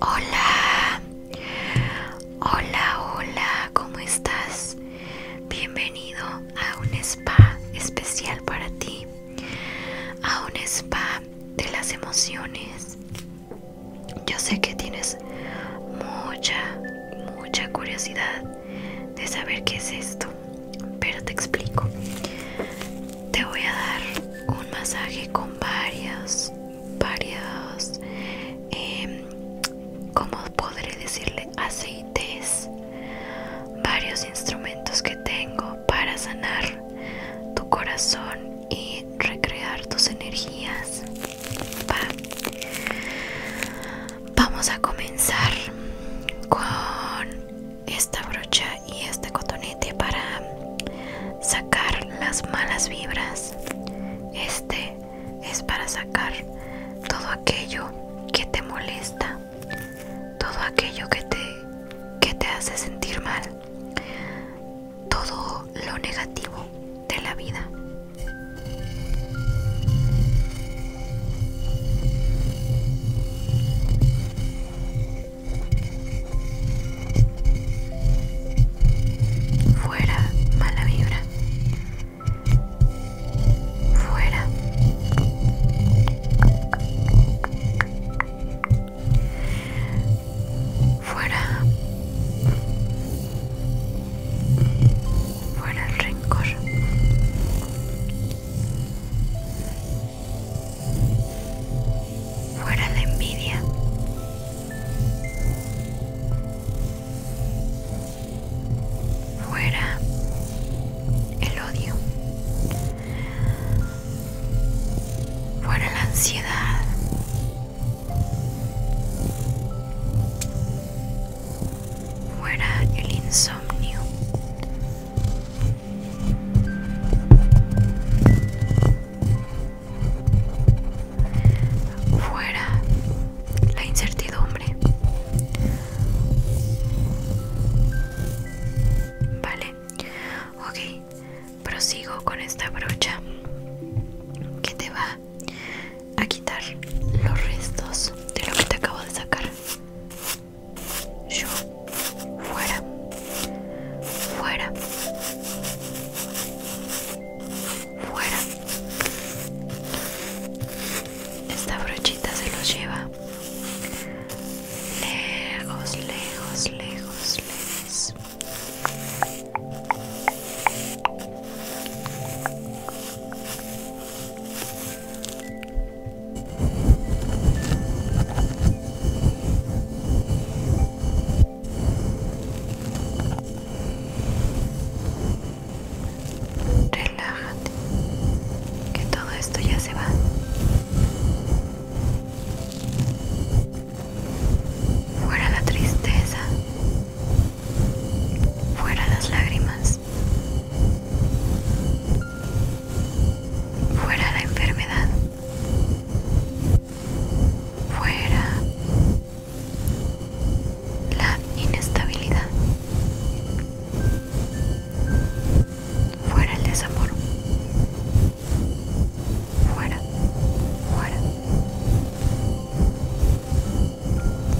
Hola, hola, hola, ¿cómo estás? Bienvenido a un spa especial para ti, a un spa de las emociones. Yo sé que tienes mucha, mucha curiosidad de saber qué es esto, pero te explico. Te voy a dar un masaje con varias varios em, como podré decirle aceites varios instrumentos que tengo para sanar tu corazón y recrear tus energías vamos a comenzar con esta brocha y este cotonete para sacar las malas vibras. Este es para sacar todo aquello que te molesta, todo aquello que te, hace sentir mal, todo lo negativo de la vida. Fuera, mala vibra. Fuera. Fuera. Fuera el rencor. Fuera la envidia. Fuera el odio. Fuera la ansiedad. Fuera el insomnio fuera la incertidumbre. Vale, ok, prosigo con esta brocha que te va a quitar los restos de lo que te acabo de sacar. Yo fuera, fuera, fuera. Esta brochita se los lleva lejos, lejos, lejos, lejos. Relájate, que todo esto ya se va. Fuera la tristeza, fuera las lágrimas, fuera la enfermedad, fuera la inestabilidad, fuera el desamor, fuera, fuera,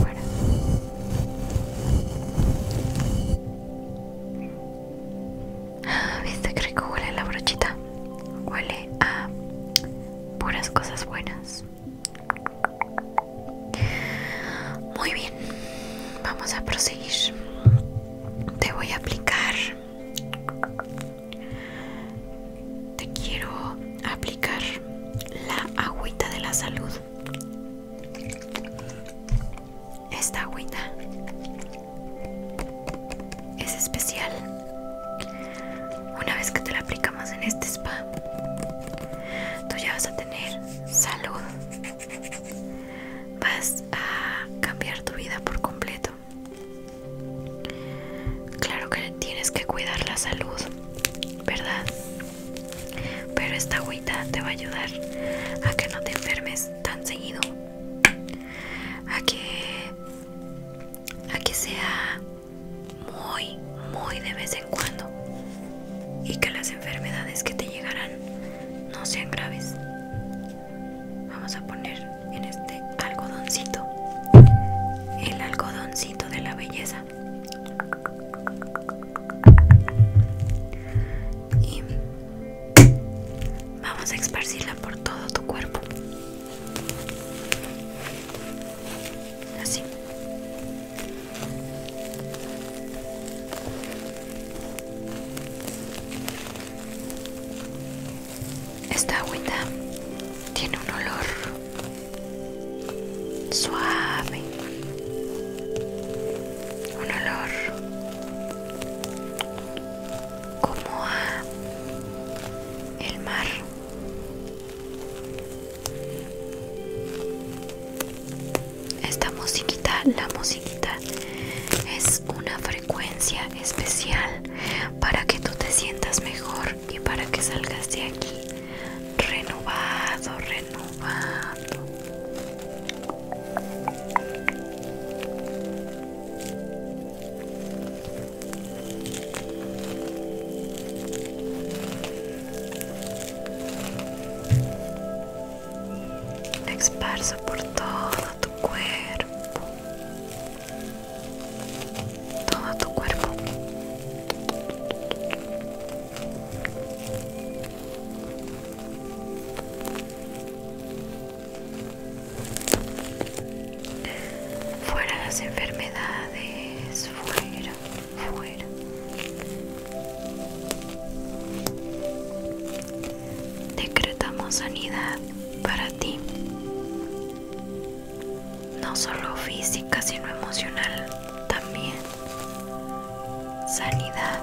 fuera. Ah, ¿Viste? que que huele la brochita. Huele a puras cosas buenas. Muy bien, vamos a proseguir. Te voy a aplicar. Te quiero aplicar la agüita de la salud. Esta agüita es especial. Una vez que te la aplicamos en este spa, tú ya vas a tener salud. Vas a cambiar tu vida por completo. Claro que tienes que cuidar la salud, ¿verdad? Pero esta agüita te va a ayudar a que no te enfermes tan seguido, a que a que sea muy, muy de vez en cuando y que las enfermedades que te llegarán no sean graves. Vamos a poner en este algodoncito el algodoncito de la belleza. Y Vamos a esparcirla por todo tu cuerpo. Así. Esta agüita tiene un olor suave, un olor como a el mar esta musiquita la musiquita es una frecuencia especial para que tú te sientas mejor y para que salgas de aquí renovado renovado Experso por todo tu cuerpo. Todo tu cuerpo. Fuera las enfermedades, fuera, fuera. Decretamos sanidad para ti, no solo física, sino emocional también. Sanidad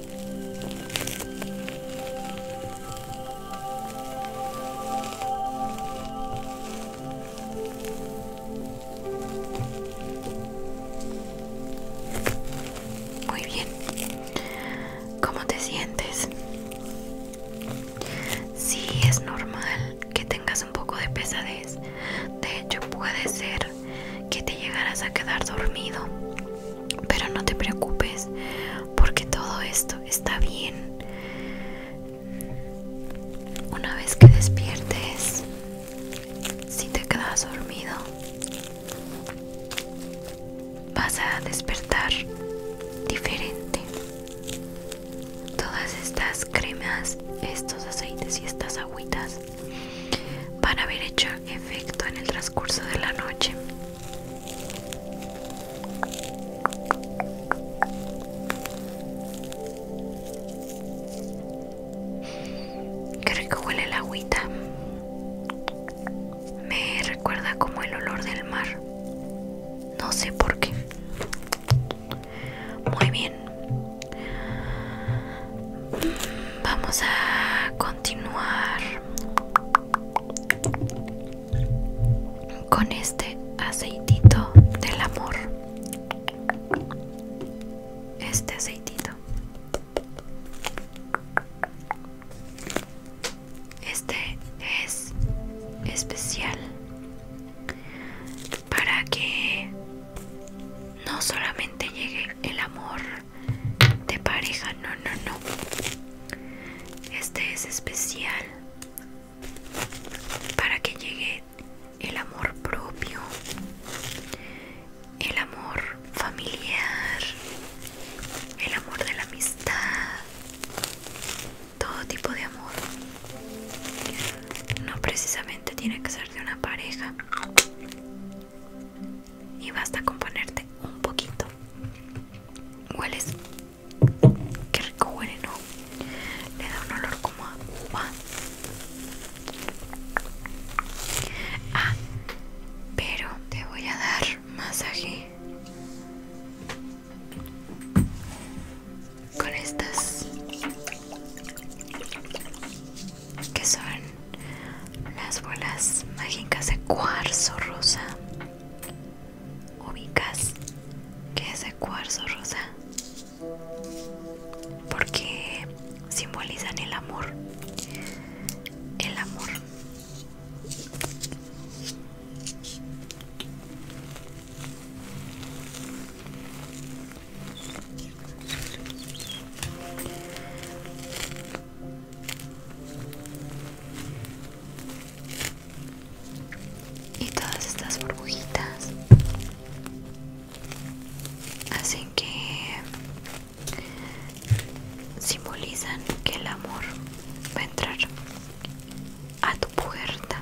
Muy bien. ¿Cómo te sientes? Sí, es normal que tengas un poco de pesadez. De hecho, puede ser que te llegarás a quedar dormido. Pero no te preocupes porque todo esto está bien. Una vez que despiertes, si te quedas dormido, vas a despertar diferente. Todas estas cremas, estos aceites y estas agüitas van a haber hecho efecto en el transcurso de la noche. Qué rico huele el agüita. Me recuerda como el olor del mar. No sé por qué. Muy bien. Vamos a continuar con este aceitito del amor. Este aceitito. Este es especial para que no solamente llegue el amor de pareja no no no este es especial para que llegue el amor propio el amor familiar el amor de la amistad todo tipo de amor no precisamente tiene que ser de una pareja y basta con ponerte un poquito. Hueles, qué rico huele, ¿no? Le da un olor como a uva. Ah, pero te voy a dar masaje con estas que son las bolas mágicas de cuarzo rosa ubicas que es de cuarzo rosa porque simbolizan el amor el amor y todas estas burbujitas hacen que simbolizan que el amor va a entrar a tu puerta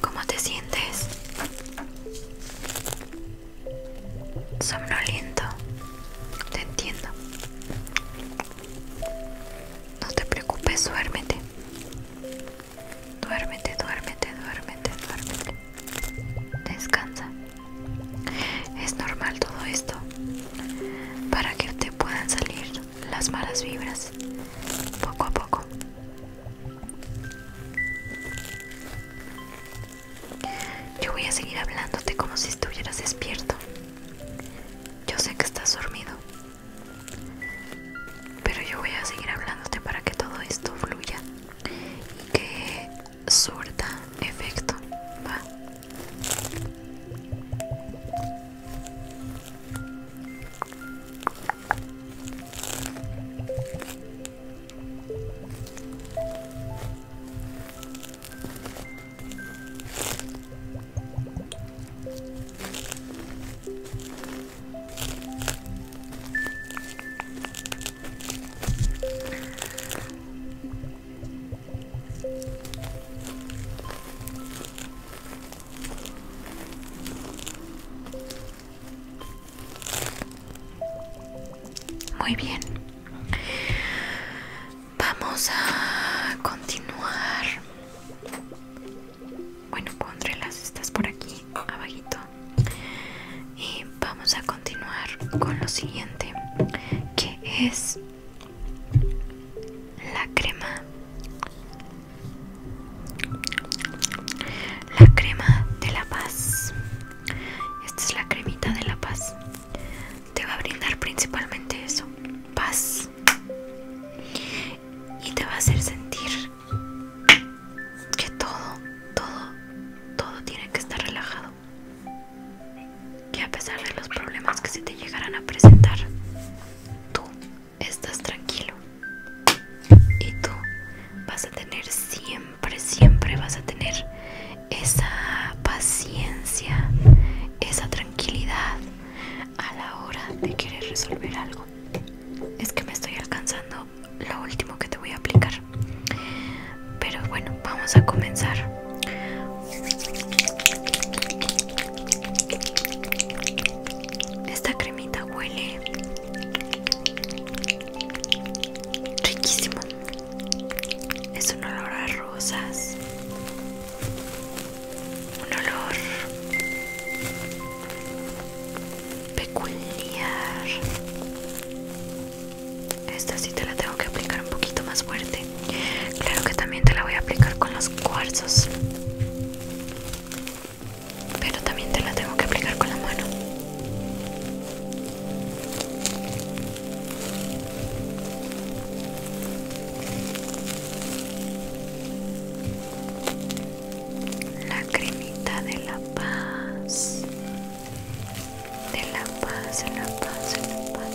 ¿Cómo te sientes? Somnoliento, te entiendo. No te preocupes, duérmete. Duérmete, duérmete, duérmete, duérmete. Descansa. Es normal todo esto. Para que te puedan salir las malas vibras. Poco a poco. Yo voy a seguir hablándote como si estuvieras despierto. Yo sé que estás dormido. Pero yo voy a seguir hablándote para que todo esto fluya y que surta efecto. Va. Muy bien. Vamos a continuar bueno pondré las estas por aquí abajito y vamos a continuar con lo siguiente que es la crema la crema de la paz esta es la cremita de la paz te va a brindar principalmente eso paz y te va a hacer sentir que todo, todo, todo tiene que estar relajado. Que a pesar de los problemas que se te llegarán a presentar, tú estás tranquilo. Y tú vas a tener siempre, siempre vas a tener esa paciencia, esa tranquilidad a la hora de querer resolver algo. Es que me estoy alcanzando lo último que te voy a aplicar. Pero bueno, vamos a comenzar. Esta cremita huele riquísimo. Es un olor a rosas un olor peculiar. Esta sí te la tengo que aplicar un poquito más fuerte. Claro que también te la voy a aplicar con los cuarzos. Pero también te la tengo que aplicar con la mano la cremita de la paz de la paz de la paz de la paz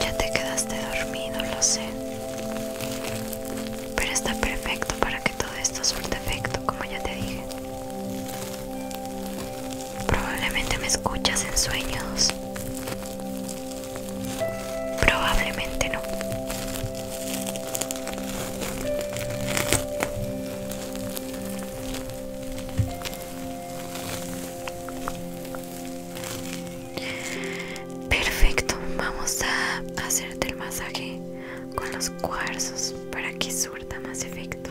ya te quedaste dormido lo sé pero está perfecto para que todo esto suelte efecto como ya te dije Probablemente me escuchas en sueños. Probablemente no. Perfecto, vamos a hacerte el masaje con los cuarzos para que surta más efecto.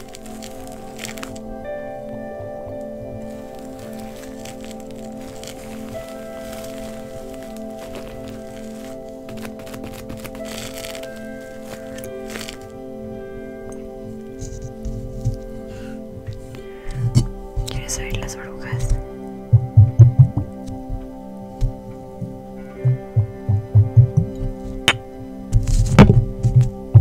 ¿Quieres abrir las orugas?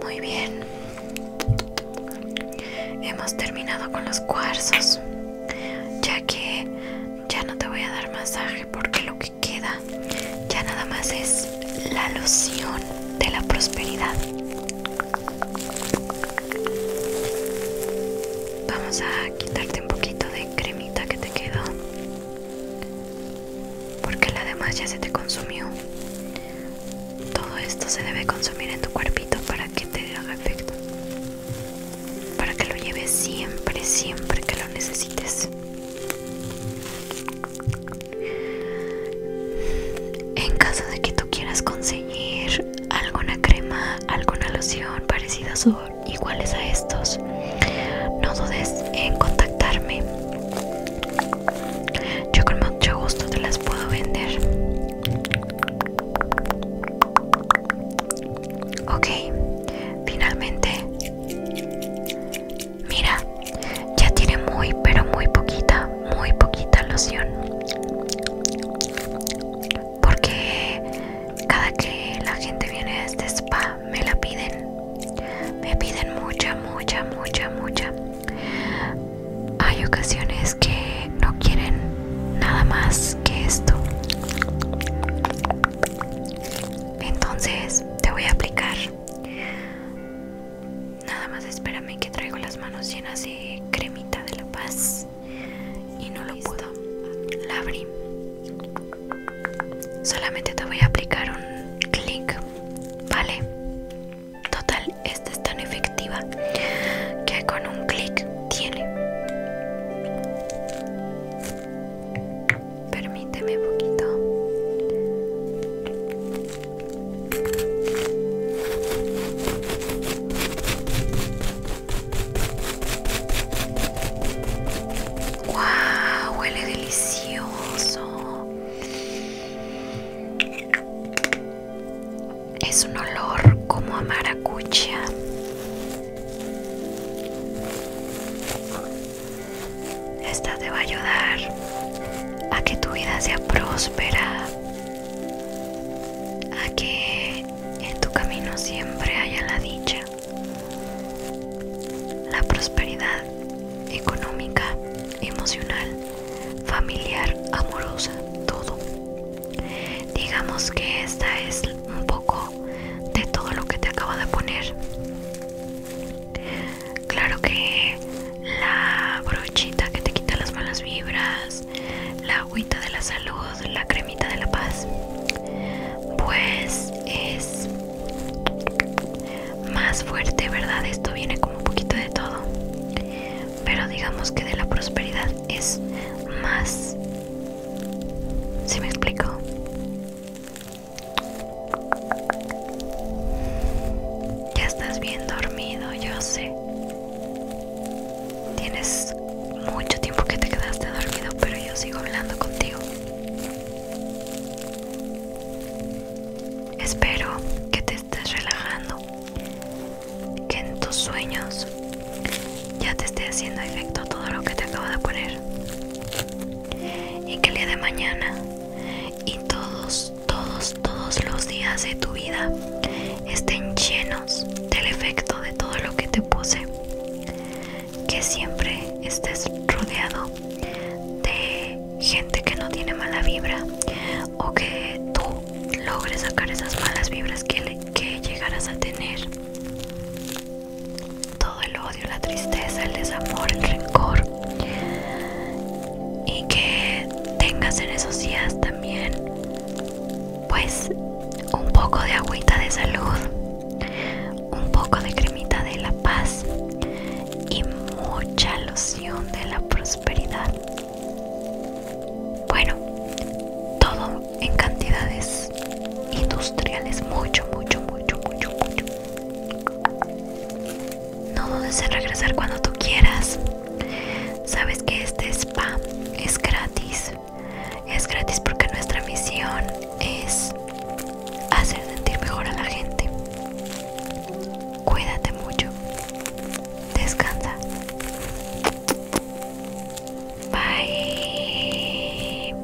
Muy bien, hemos terminado con los cuarzos, ya que ya no te voy a dar masaje porque lo que queda ya nada más es la loción de la prosperidad vamos a quitarte un poquito de cremita que te quedó porque la demás ya se te consumió todo esto se debe consumir en tu cuerpito para que te haga efecto para que lo lleves siempre siempre que lo necesites en caso de que tú quieras conseguir alguna crema, alguna loción parecidas o iguales a estos, no dudes en contactarme. Yo con mucho gusto te las puedo vender. Ok, finalmente Mira, ya tiene muy, pero muy poquita, muy poquita loción. Porque cada que la gente viene a este spa me la piden. Me piden mucha, mucha, mucha, mucha. Hay ocasiones que no quieren nada más que esto. Entonces te voy a aplicar Nada más espérame que traigo las manos llenas de cremita de la paz y no lo puedo. La abrí. Solamente te voy a aplicar un clic, ¿vale? Total, esta es tan efectiva que con un clic tiene. Permíteme un poquito. ¡Wow! Huele delicioso. Es un olor como a maracucha. Esta te va a ayudar a que tu vida sea próspera, a que en tu camino siempre haya la dicha, la prosperidad económica, emocional, familiar, amorosa, todo. Digamos que esta es un poco de todo lo que te acabo de poner. Claro que la brochita que te quita las malas vibras, la agüita de la salud, la cremita de la paz, pues es más fuerte, ¿verdad? Esto viene como un poquito de todo, pero digamos que de la prosperidad es más... ¿Sí me explico? Ya estás bien dormido, yo sé. Tienes mucho tiempo que te quedaste dormido, pero yo sigo hablando contigo. Espero que te estés relajando, que en tus sueños ya te esté haciendo efecto todo lo que te acabo de poner y que el día de mañana y todos, todos, todos los días de tu vida estén llenos del efecto de todo lo que te pose Que siempre estés rodeado de gente que no tiene mala vibra o que tú logres sacar esas malas vibras que, que llegarás a tener todo el odio, la tristeza, el desamor, el rencor y que tengas en esos días también pues un poco de agüita de salud, un poco de cremita de la paz y mucha loción de la prosperidad. Bueno, todo en cantidades industriales, mucho, mucho, mucho, mucho, mucho. No dudes en regresar cuando tú quieras. Sabes que este spa es gratis. Es gratis porque nuestra misión es hacer sentir mejor a la gente. Cuídate mucho. Descansa. Bye.